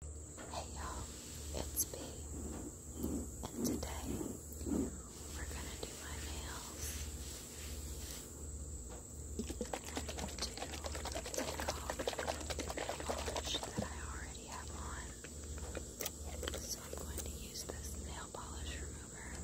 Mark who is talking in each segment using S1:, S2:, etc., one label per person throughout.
S1: Hey y'all, it's B, and today we're gonna do my nails to take off the polish that I already have on. So I'm going to use this nail polish remover.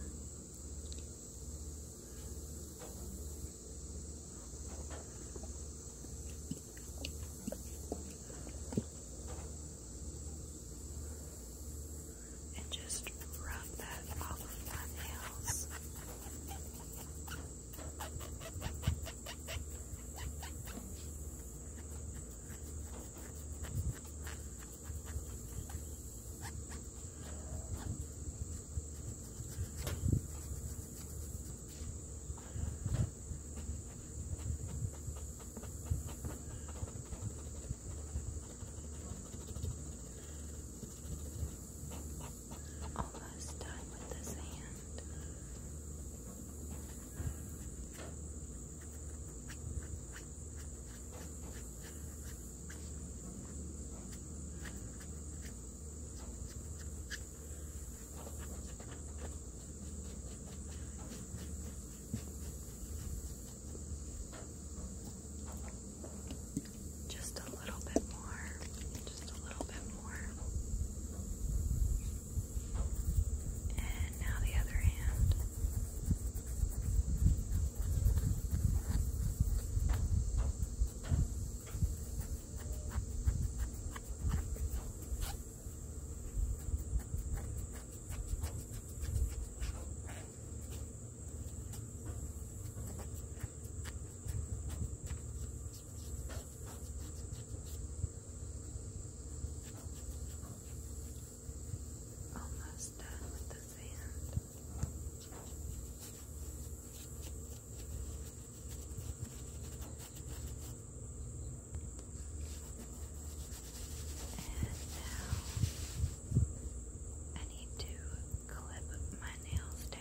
S1: And just rub that off of my nails. Almost done with this hand. Okay. Just a little bit more, just a little bit more. And now the other hand. Almost done with the sand now I need to clip my nails down.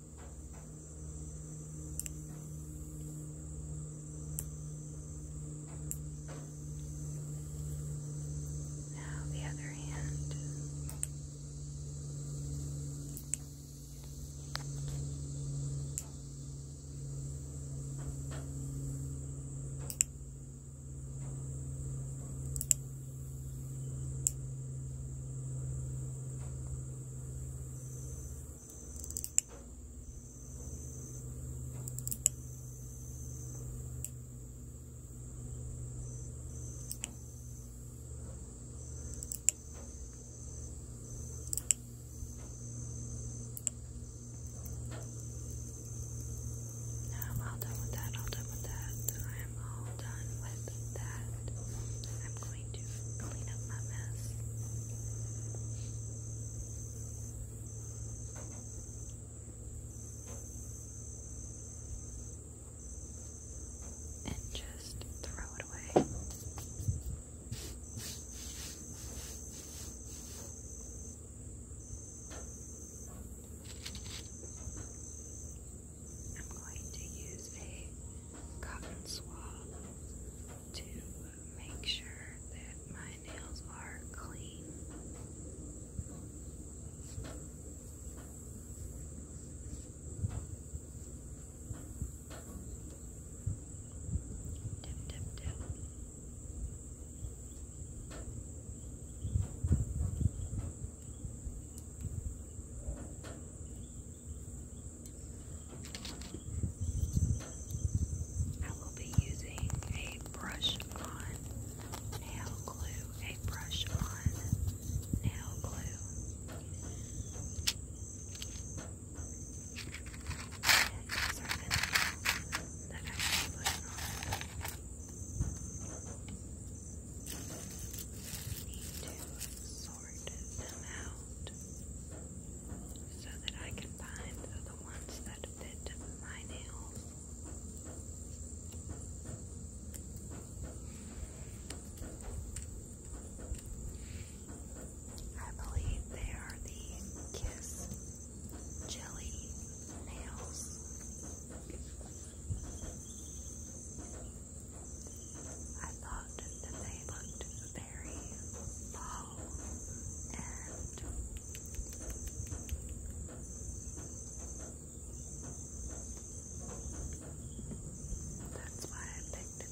S1: Now the other hand. Now now I'm all done with that, all done with that. I'm all done with that. I'm going going to clean up my mess. And just throw it away. I'm going to use a cotton swab to make sure that my nails are clean. Dip, dip, dip. I will be using a brush on nail glue, a brush on nail glue. And these are the nails that I will be putting on. Need to sort sort them out so that I can find the ones that fit my nails. I believe they are the Kiss Jelly Nails. I thought that they looked very low and that's why I picked them.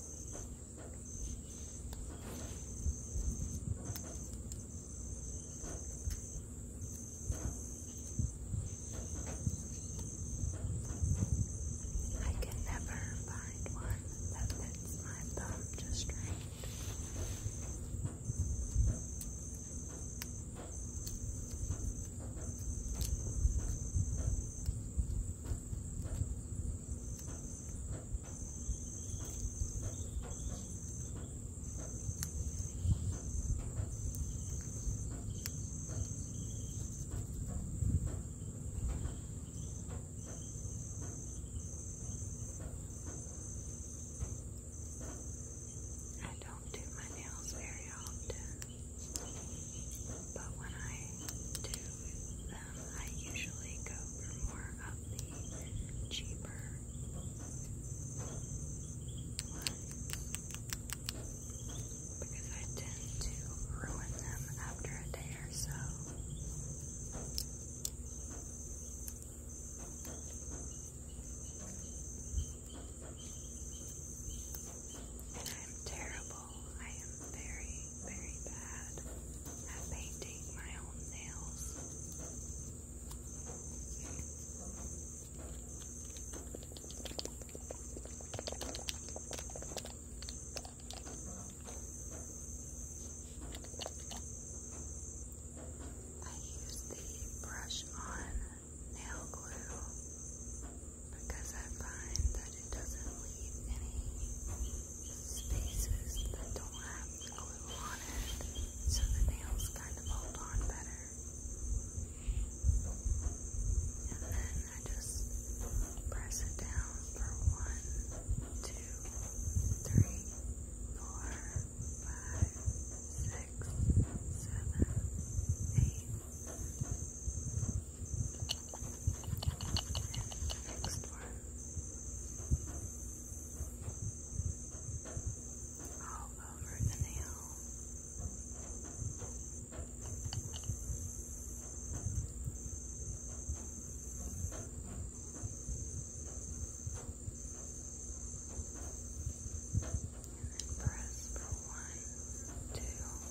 S1: I can never find one that fits my thumb just right. I don't do my nails very often. But when I do them, I usually go for more of the cheaper ones because I tend to ruin them after a day or so. And I'm terrible I am very, very bad at painting my own nails. I use the brush on nail glue because I find that it doesn't leave any spaces that don't have glue on it, so the nails kind of hold on better. And then I just press it down for one, two, three, four, five, six, seven, eight, Next one. All over the nail. And then press for one, two,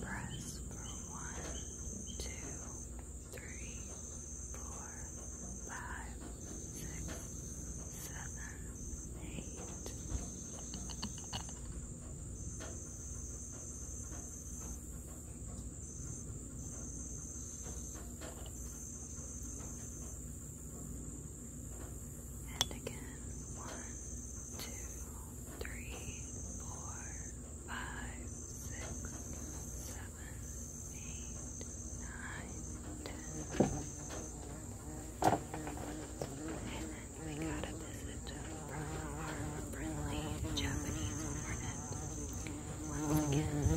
S1: Press for one, two, three, four, five, six, seven, eight. And again, one, two, three, four, five, six, seven, eight, nine, ten. And then we got a visit from our friendly Japanese hornet. Once again, he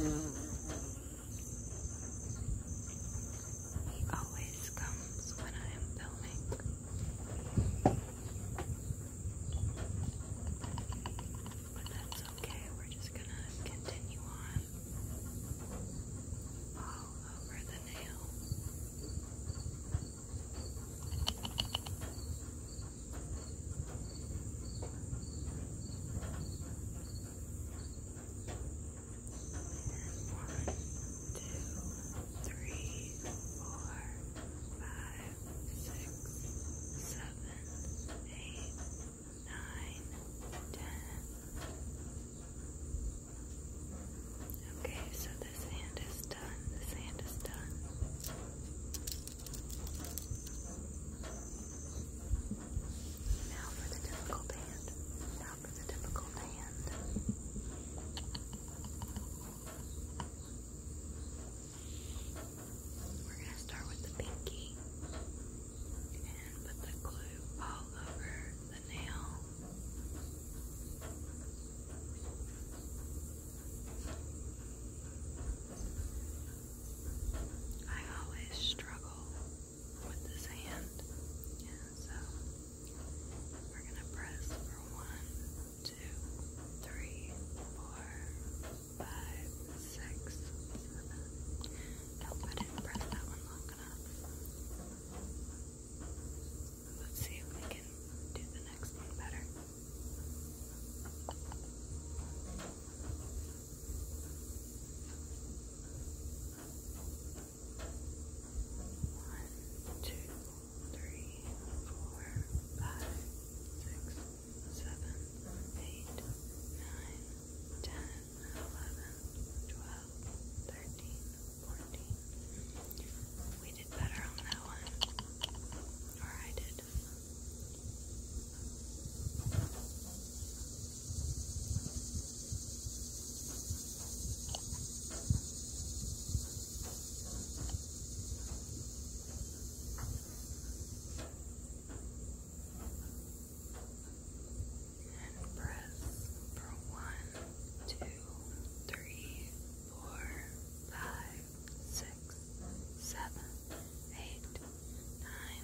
S1: always comes when I am filming. But that's okay, we're just gonna continue on all over the nail. And one, two, three, four, five, six, seven, eight, nine, ten. Okay, so this hand is done. This hand is done. Now for the difficult hand. Now for the difficult hand. We're going to start with the pinky and put the glue all over the nail. I always struggle with this hand, so we're going to press for one two, three, four, five, six, seven. Nope, I didn't press that one long enough. Let's see if we can do the next one better. One, two, three, four, five, six, seven, eight, nine, ten, eleven, twelve, thirteen, fourteen. We did better on that one. Or I did. Okay. And press for one, two, three, four, five, six, seven, eight, nine.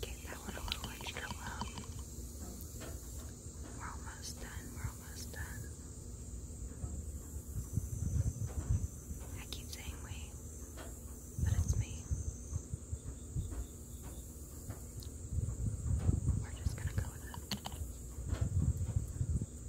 S1: Get that one a little extra low. We're almost done, we're almost done. I keep saying we, but it's me. We're just gonna go with it.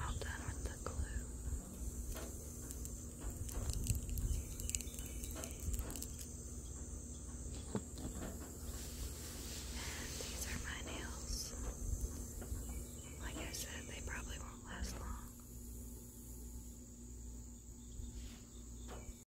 S1: All done with the glue. And these are my nails. Like I said, they probably won't last long.